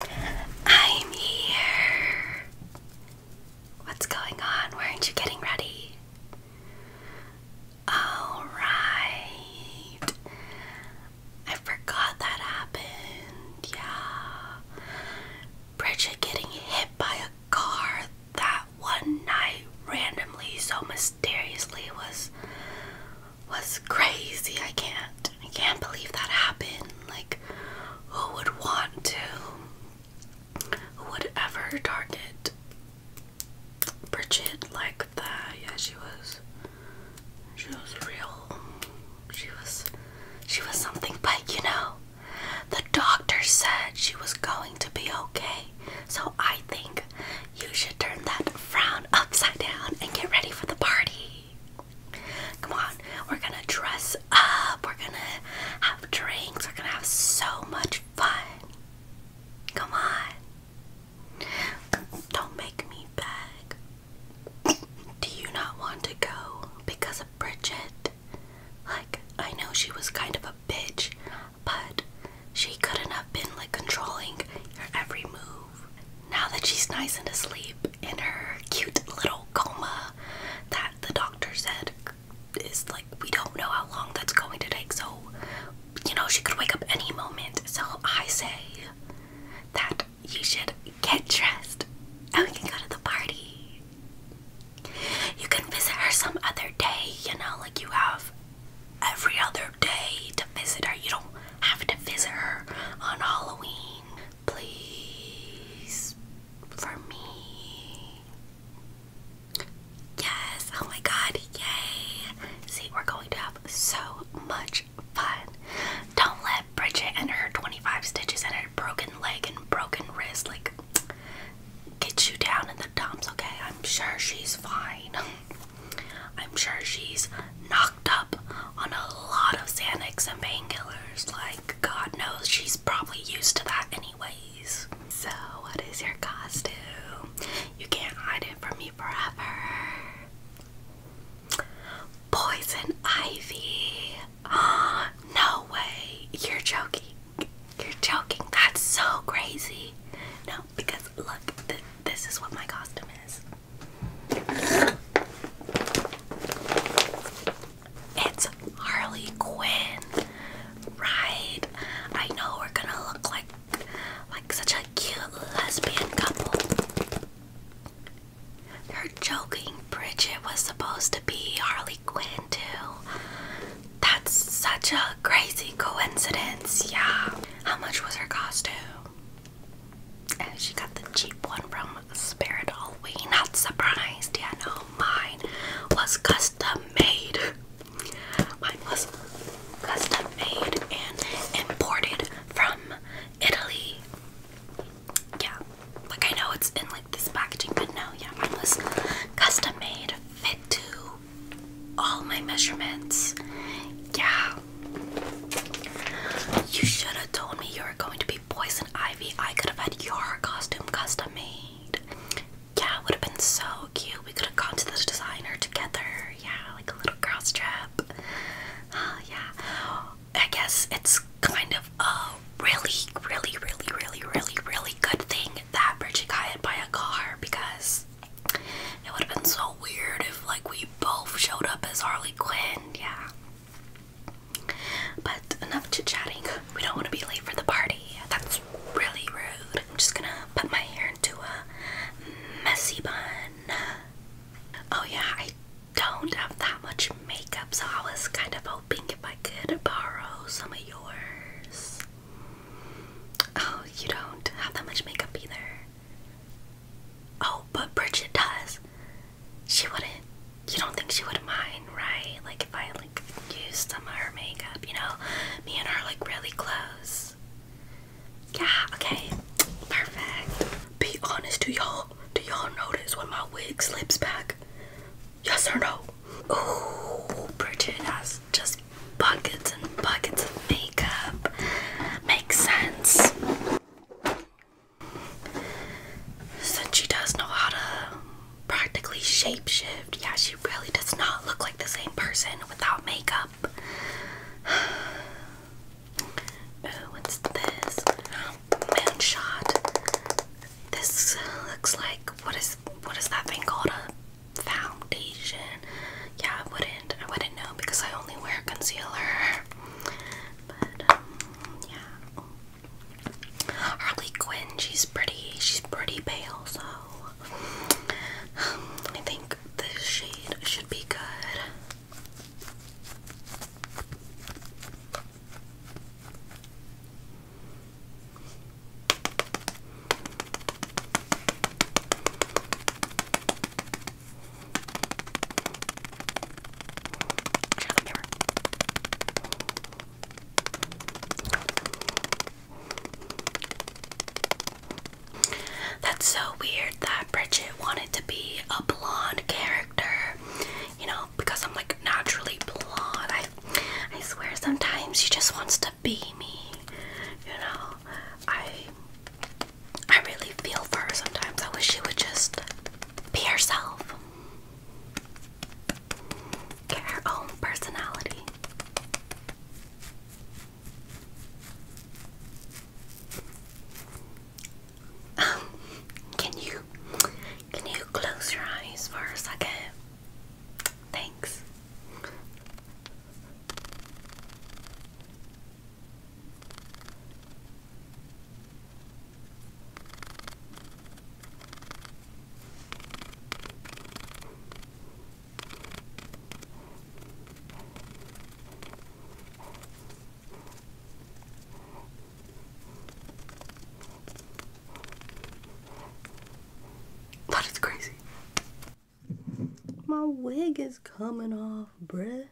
I'm here. What's going on? Why aren't you getting ready? Alright. I forgot that happened. Yeah. Bridget getting hit by a car that one night randomly so mysteriously was was crazy. I can't I can't believe that happened. Like, who would want to? Who would ever target Bridget like that? Yeah, she was. She was real. She was. She was something, but you know, the doctor said she was going to be okay. So I think you should turn that frown upside down and get ready for the party. Come on, we're gonna dress up, we're gonna have drinks, we're gonna have so much fun. Come on. Don't make me beg. Do you not want to go because of Bridget? Like, I know she was kind of a bitch, but she couldn't have been like controlling your every move now that she's nice and asleep in her cute little coma that the doctor said is like we don't know how long that's going to take, so you know she could wake up any moment. So I say that you should get dressed and we can go to the party. You can visit her some other day, you know, like you have every other day to visit her. You don't have to visit her on Halloween please for me. Yes, oh my god, yay! See, we're going to have so much fun. Don't let Bridget and her 25 stitches and her broken leg and broken wrist like get you down in the dumps, okay? I'm sure she's fine. I'm sure she's not up on a lot of Xanax and painkillers. Like, God knows she's probably used to that, anyways. So, what is your costume? You can't hide it from me forever. Poison Ivy. Ah, no way. You're joking. You're joking. That's so crazy. No, because look, this is what my costume is. It's Harley Quinn, right? I know we're gonna look like like such a cute lesbian couple. You're joking, Bridget was supposed to be Harley Quinn too. That's such a crazy coincidence, yeah. How much was her costume? And she got the cheap one from Spirit All we Not surprised, yeah, no, mine was custom made. Mine was custom made and imported from Italy. Yeah, like I know it's in like this packaging, but no, yeah, mine was custom made, fit to all my measurements. Yeah, you should have told me you were going to be Poison Ivy. I could have had your costume custom made. Yeah, it would have been so cute. We could have gone to the designer together. Yeah, like a little cross strip. Uh, yeah. I guess it's kind of a really, really, really, really, really, really good thing that Bridget got by a car because it would have been so weird if like we both showed up as Harley Quinn. Yeah. But enough chit chatting. We don't want to be late for the party. That's really rude. I'm just gonna put my hair into a messy bun. Oh, yeah, I don't have that much makeup, so I was kind of hoping if I could borrow some of yours. Oh, you don't have that much makeup either. Oh, but Bridget does she wouldn't you don't think she would mind, right? Like if I like used some of her makeup, you know? Me and her like really close. Yeah, okay. Perfect. Be honest, to y'all do y'all notice when my wig slips back? Yes or no? Ooh, Bridget has just buckets and buckets of makeup. Makes sense. Since she does know how to practically shapeshift, yeah, she really does not look like the same person without makeup. Ooh, what's this? Moonshot. This looks like what is what is that thing called? A foundation. Yeah, I wouldn't I wouldn't know because I only wear concealer. But um, yeah. Harley Quinn, she's pretty. She's pretty pale, so um, I think this shade should be good. That's so weird that Bridget wanted to be a blonde character. You know, because I'm like naturally blonde. I I swear sometimes she just wants to be me. You know, I I really feel for her sometimes. I wish she would just be herself. Get her own personality. Um, can you can you close your eyes for a second? Thanks. That is crazy. My wig is coming off, bruh.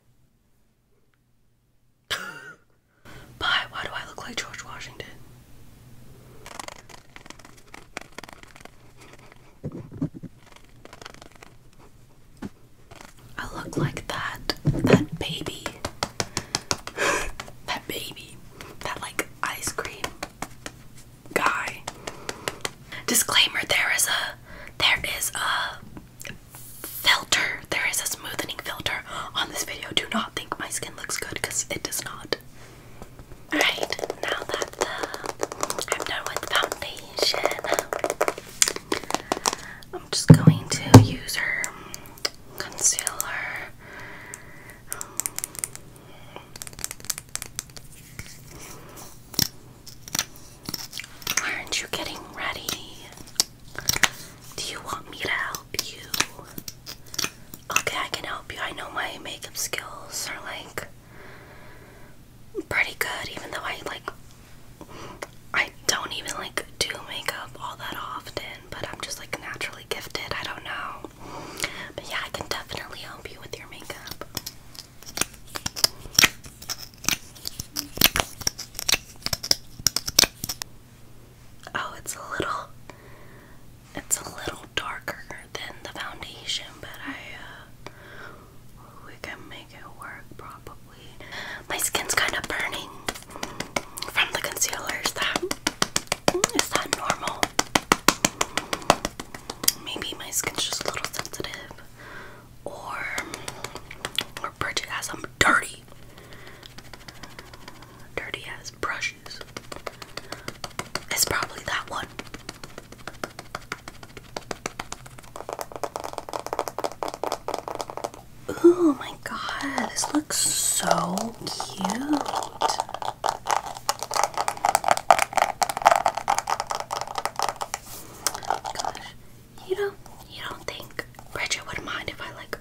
Bye. Why do I look like George Washington? I look like that. That baby. that baby. That like ice cream guy. Disclaimer: There is a there is a filter. There is a smoothing filter on this video. Do not think my skin looks good because it does not. Alright, now that uh, I'm done with foundation, I'm just going to use her um, concealer. Um, Aren't you getting ready? Do you want me to help you? Okay, I can help you. I know my makeup skills are like pretty good, even though I like I don't even like do makeup all that often, but I'm just like naturally gifted. I don't know. But yeah, I can definitely help you with your makeup. Oh, it's a little it's a little darker than the foundation, but I uh we can make it work probably. My skin's kind of burning from the concealers. that is that normal? Maybe my skin's just a little sensitive or or Bridget has some dirty, dirty ass brushes. It's probably that one. Oh my god, this looks so cute. Gosh, you know, you don't think Bridget would mind if I like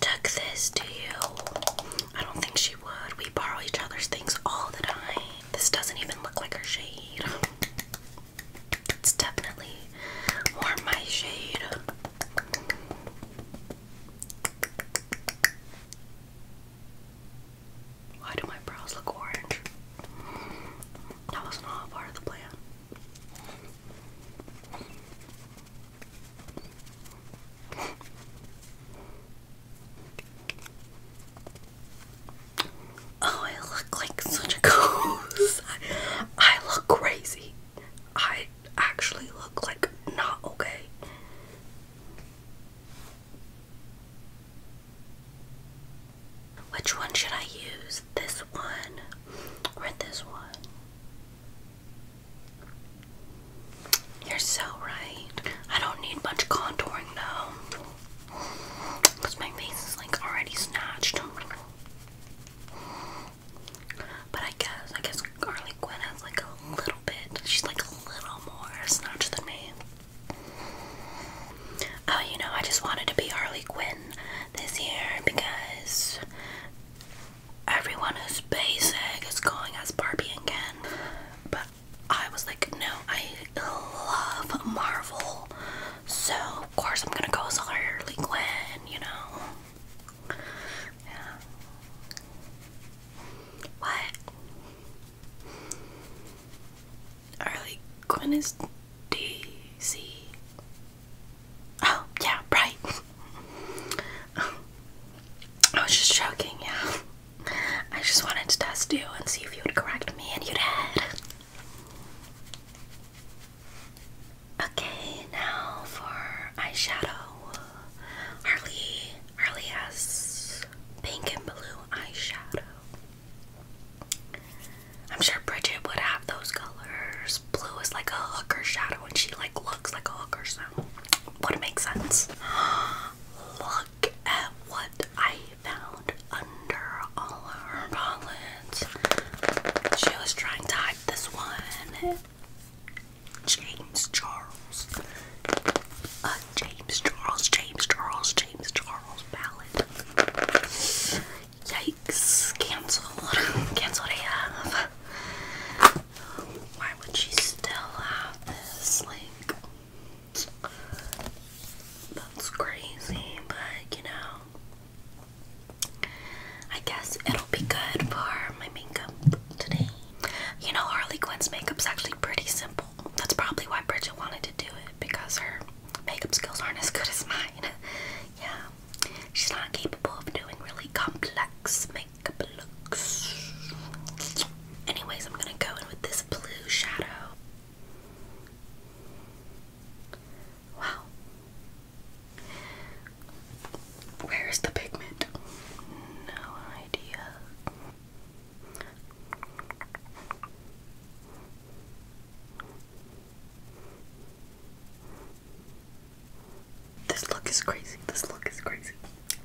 took this to you? I don't think she would. We borrow each other's things all the time. This doesn't even look like her shade. It's definitely more my shade. Why do my brows look orange? That was not part of the plan. Oh, I look like such a ghost. I, look crazy. I actually look like not okay. Which one should I use? This one or this one? You're so right. I don't need much contouring though. Because my face is like already snatched. But I guess, I guess Carly Quinn has like a little bit. She's like a little more snatched than me. Oh, you know, I just wanted to be Harley Quinn this year because everyone who's basic is going as Barbie again. But I was like, no, I love Marvel, so of course I'm gonna go as Harley Quinn, you know. Yeah. What? Early, Quinn is DC. Oh, yeah, right. I was just joking, yeah. I just wanted to test you and see if you would correct me, and you did. Okay, now for eyeshadow. Harley, Harley has pink and blue eyeshadow. I'm sure Bridget would have those colors. Blue is like a hooker shadow and she like looks like a hooker, so would make sense. Look at what I found under all of her palettes. She was trying to hide this one. James Charles. Uh, James Charles, James Charles, James Charles ballad. Yikes. Cancelled. Cancelled AF. Why would she still have this? Like, that's crazy, but you know, I guess it'll be good for my makeup today. You know, Harley Quinn's makeup is actually pretty simple. That's probably why Bridget wanted to do it because her makeup skills aren't as good as mine. yeah, she's not capable of doing really complex makeup looks. Anyways, I'm gonna go in with this blue shadow. Wow. Where is the pigment? No idea. This look is crazy. This look is crazy.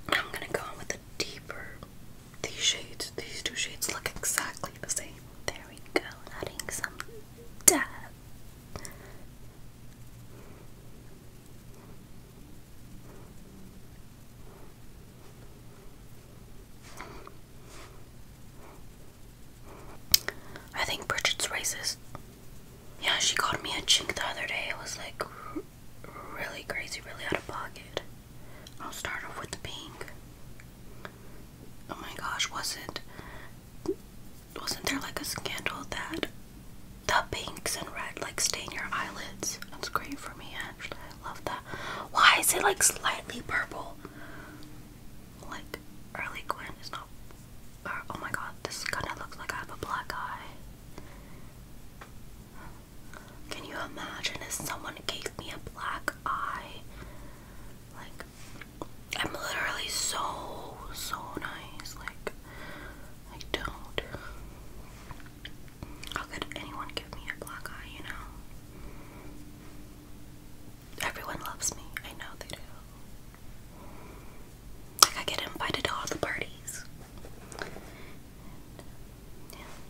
I'm gonna go on with the deeper. These shades, these two shades look exactly the same. There we go, adding some depth. I think Bridget's racist. Yeah, she called me a chink the other day. It was like really crazy, really out of pocket. I'll start off with the pink. Oh my gosh, wasn't wasn't there like a scandal that the pinks and red like stain your eyelids? That's great for me actually. I love that. Why is it like slightly purple? Like, early Gwen is not. oh my god, this kind of looks like I have a black eye. Can you imagine if someone gave me a black eye? Like, I'm literally so, so nice. Like, I don't. How could anyone give me a black eye, you know? Everyone loves me. I know they do. I get invited to all the parties.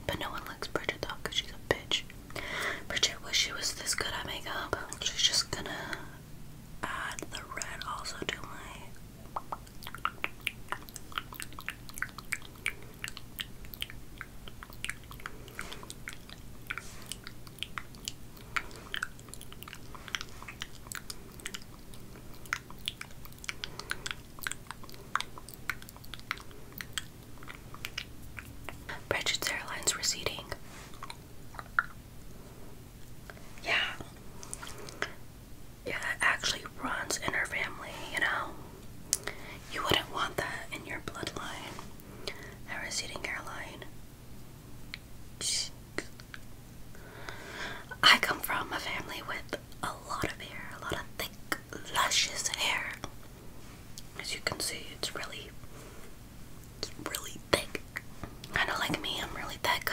But no one likes Bridget though she's a bitch. Bridget wish she was this good at makeup. She's just gonna add the red also to my Bridget's hairline's receding. Yeah. Yeah, actually runs in her family, you know? You wouldn't want that in your bloodline. Her receding hairline. I come from a family with a lot of hair, a lot of thick, luscious hair. As you can see, it's really, really thick. Kind of like me, I'm really thick.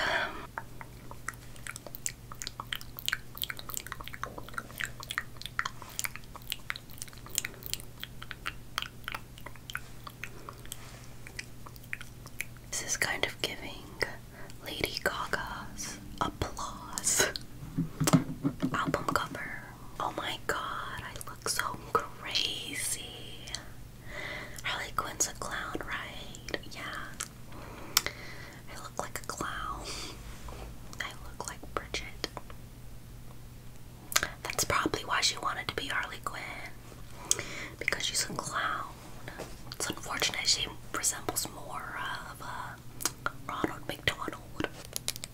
This is kind of giving Lady Gaga's applause album cover. Oh my god, I look so crazy. Harley Quinn's a clown, right? Yeah. I look like a clown. I look like Bridget. That's probably why she wanted to be Harley Quinn. Because she's a clown. It's unfortunate she resembles more of uh, Ronald McDonald.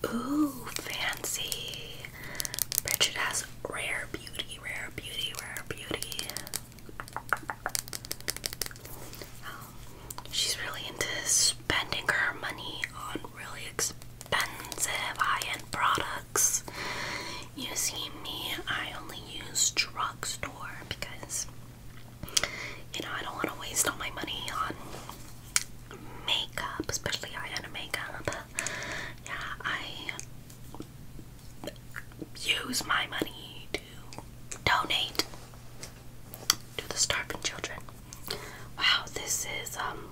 Ooh, fancy. Bridget has rare beauty, rare beauty, rare beauty. Um, she's really into spending her money on really expensive high-end products. You see me, I only use drugstore because you know I don't want to waste all my money on makeup, especially high-end makeup. Yeah, I use my money to donate to the starving children. Wow, this is um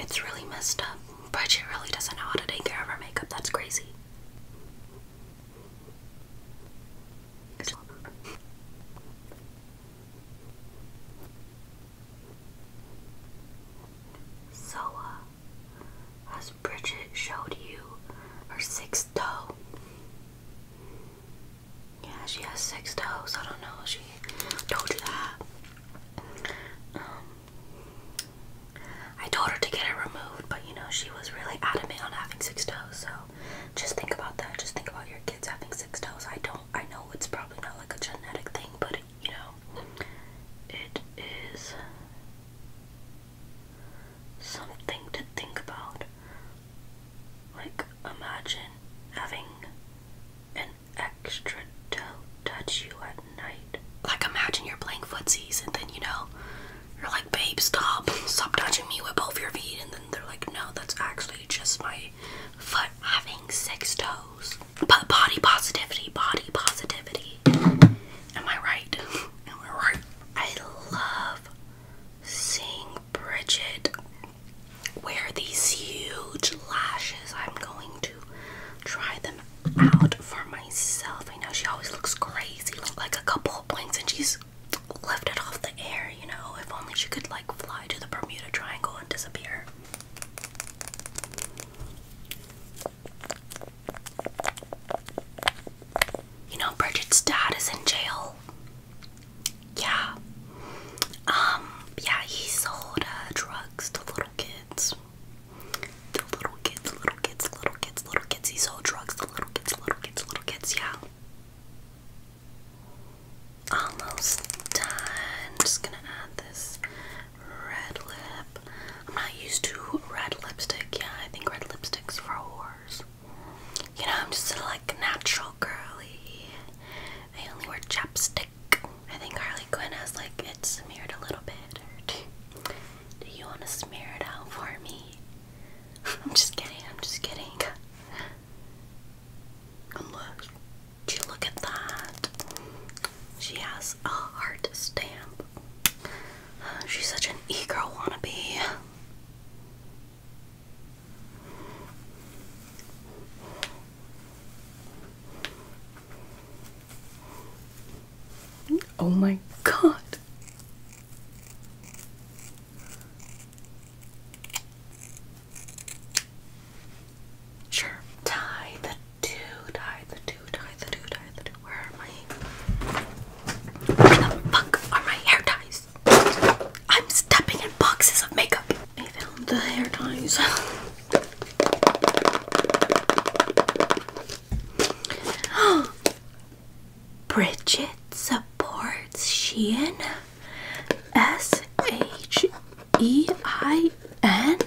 it's really messed up. Bridget really doesn't know how to take care of her makeup, that's crazy. so, uh, Bridget showed you her sixth toe? Yeah, she has six toes. I don't know. She told you that. Um, I told her to get it removed, but you know, she was really adamant on having six toes. So just think about that. Just think about your kids having six toes. I don't, I know it's probably not like a genetic thing, but you know, it is something to think about. Like, imagine having an extra toe touch you at night. Like imagine you're playing footsies and then you know you're like, babe, stop, stop touching me with both your feet, and then they're like, no, that's actually just my foot having six toes. But body positivity, body positivity. Am I right? Am I right? I love seeing Bridget wear these huge lashes. I'm going to try them out for myself. I know she always looks crazy, like a couple of blinks, and she's left it off the air, you know. If only she could, like, fly to the Bermuda Triangle and disappear. You know, Bridget's dad is in jail yeah. Um, yeah, he sold uh, drugs to little kids. To little kids, little kids, little kids, little kids. He sold drugs to little kids, little kids, little kids, yeah. Almost done. I'm just gonna add this red lip. I'm not used to red lipstick. Yeah, I think red lipstick's for whores. You know, I'm just like natural girly. I only wear chapstick. I think Harley Quinn has like it smeared a little bit. do you want to smear it out for me? I'm just kidding. I'm just kidding. And look, do you look at that? She has a heart stamp. She's such an e-girl wannabe. Oh, my God. Sure. Tie the two, tie the two, tie the two, tie the two. Where are my. Where the fuck are my hair ties? I'm stepping in boxes of makeup. I found the hair ties. Bridget supports Shein. S H E I N.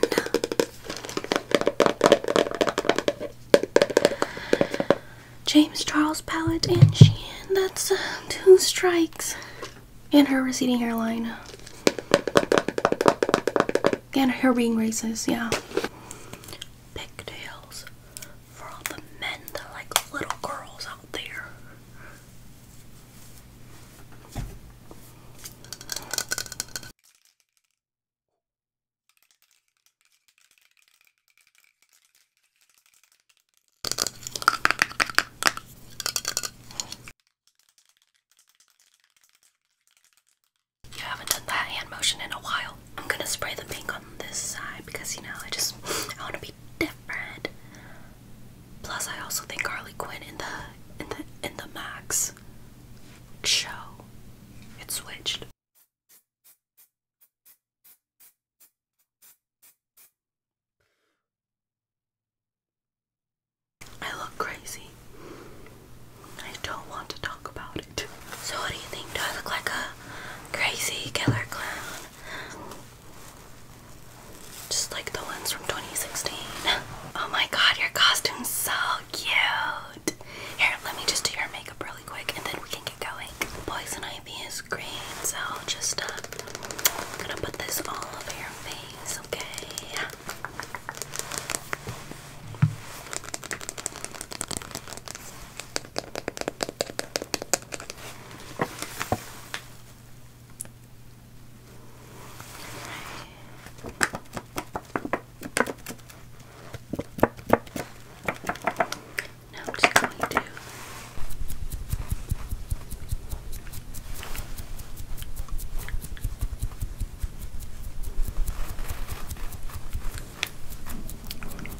James Charles Palette and Shein. That's uh, two strikes and her receding hairline and her ring racist, yeah. Pigtails for all the men that like little girls out there. You haven't done that hand motion in a while. I'm gonna spray the pink on this side because you know I just I want to be different. Plus, I also think Harley Quinn in the in the in the Max show it switched. I look crazy. I don't want to talk about it. So, what do you think? Do I look like a crazy killer clown? Just like the ones from 2016. Oh my god, your costume's so cute. Here, let me just do your makeup really quick and then we can get going. Poison Ivy is green, so just uh, I'm gonna put this all over your face, okay? Now I'm going to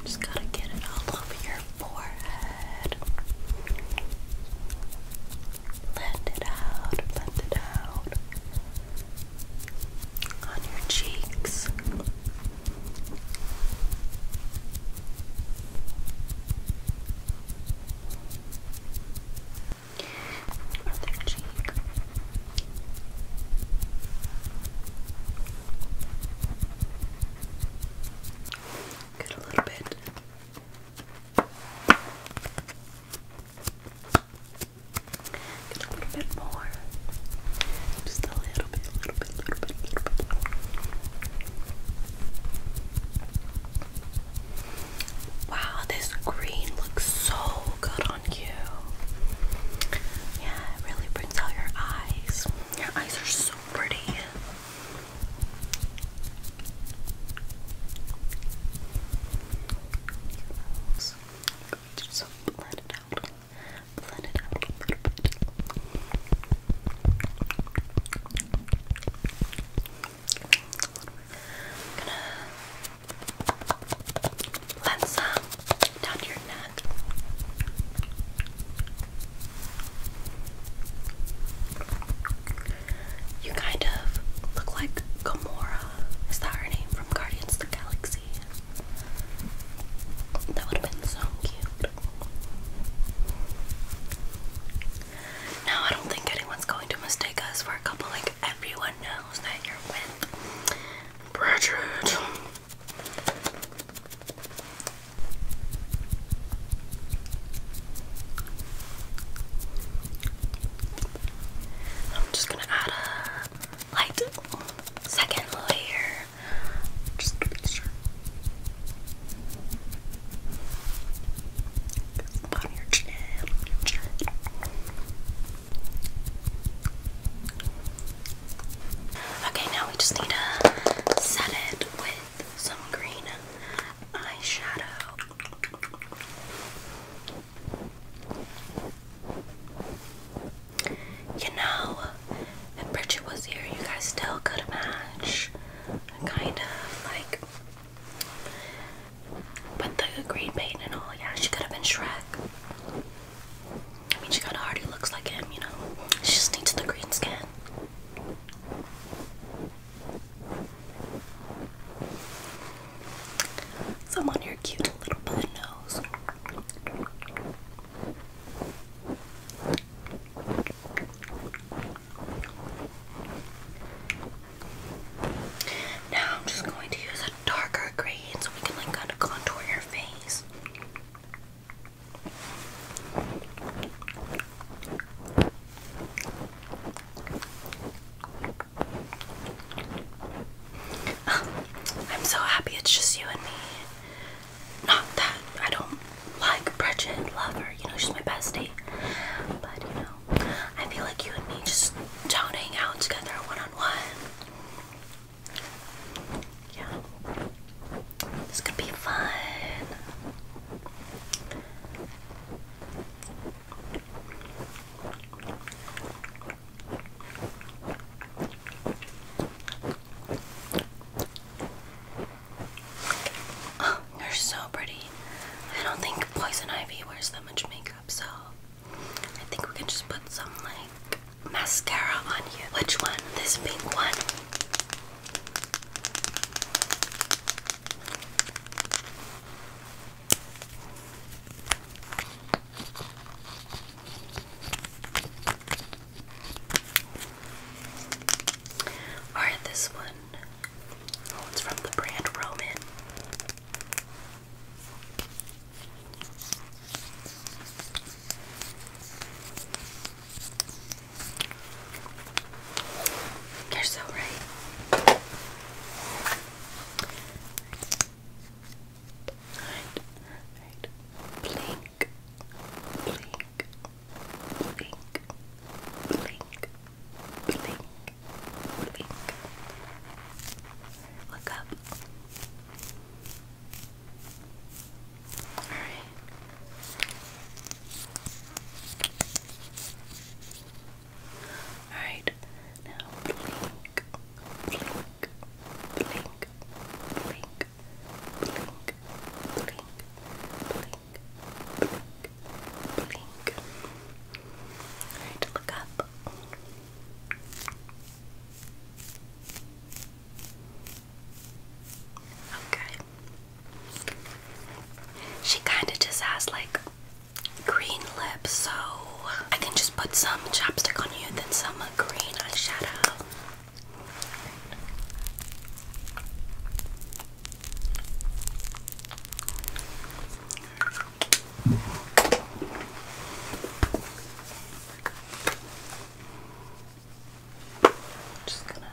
just gotta get it all over your forehead. Blend it out, blend it out. On your cheeks. Other cheek. Get a little bit. Get a little bit more. Just a little bit, little bit, little bit, little bit. Wow, this green looks so good on you. Yeah, it really brings out your eyes. Your eyes are so pretty. So blend it out. Blend it out going down your neck. You kind of look like Gamora. Is that her name from Guardians the Galaxy? That would have been so cute. Now, I don't think anyone's going to mistake us for a couple, like everyone knows that you're with Bridget. I'm just gonna add a light second layer. Just to be sure. Okay, now we just need to set it with some green eyeshadow. You know, if Bridget was here, you guys still could match kind of like with the green paint and all. Yeah, she could have been Shrek. I mean, she kind of already looks like him, you know. She just needs the green skin. Some your cute little button nose. Now I'm just going to use a darker green so we can like kind of contour your face. Um, I'm so happy it's just you and me. Not that I don't like Bridget love her. you know, she's my bestie. But you know, I feel like you and me just do out together one on one. Yeah. This could be fun you are so pretty. I don't think Poison Ivy wears that much makeup, so I think we can just put some like mascara on you. Which one? This pink one. Alright, this one. Oh, it's from the brand Roman. You're so right. Alright. Alright. Blink. Blink blink, blink, blink, blink. Look up. All right. All right. Now blink, blink, blink, blink, Alright, look up. Okay. She kind of just has like green lips, so I can just put some chapstick on you, then some uh, green eyeshadow. Just gonna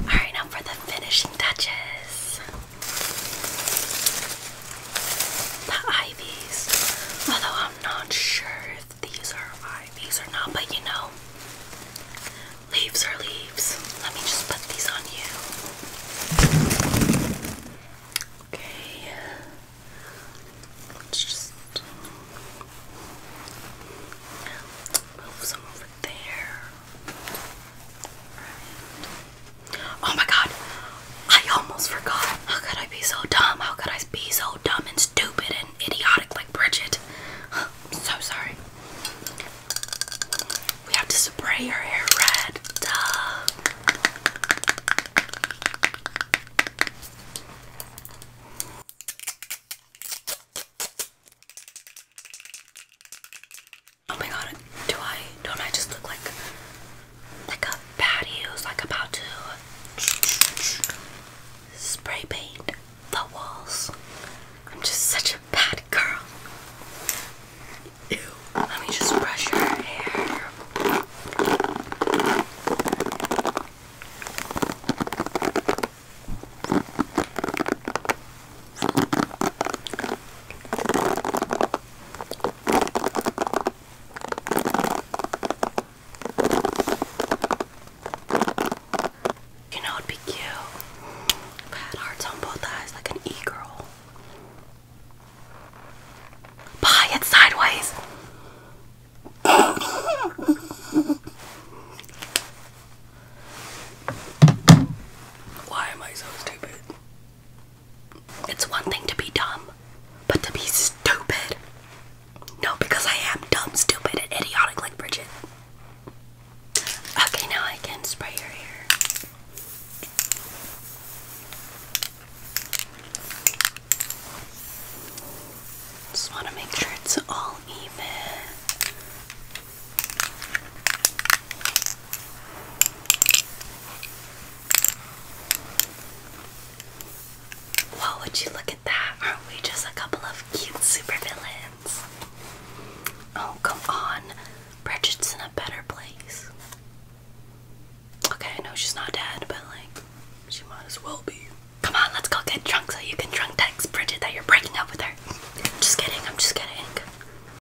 Alright, now for the finishing touches. The ivies. Although I'm not sure if these are ivies or not, but you know, leaves are leaves. Let me just put these on you. Okay. Let's just um, move some over there. Oh my god, I almost forgot. How could I be so dumb? How could I be so dumb and stupid and idiotic like Bridget? I'm so sorry. We have to spray your hair red. Duh. Oh my god, do I don't I just look like like a baddie like about to spray paint the walls? I'm just such a bad girl. Ew. Let me just brush your hair. You know it'd be cute. Bad hearts on both eyes like an e-girl. Pie it sideways. Why am I so stupid? it's one thing to be dumb, but to be stupid. No, because I am dumb, stupid, idiotic like Bridget. Okay, now I can spray your hair. Just want to make sure it's all even. Well, would you look at that? Aren't we just a couple of cute supervillains? Oh, come on. Bridget's in a better place. Okay, I know she's not dead, but like, she might as well be. Come on, let's go get drunk so you can drunk text Bridget that you're breaking up with her. Just kidding, I'm just kidding.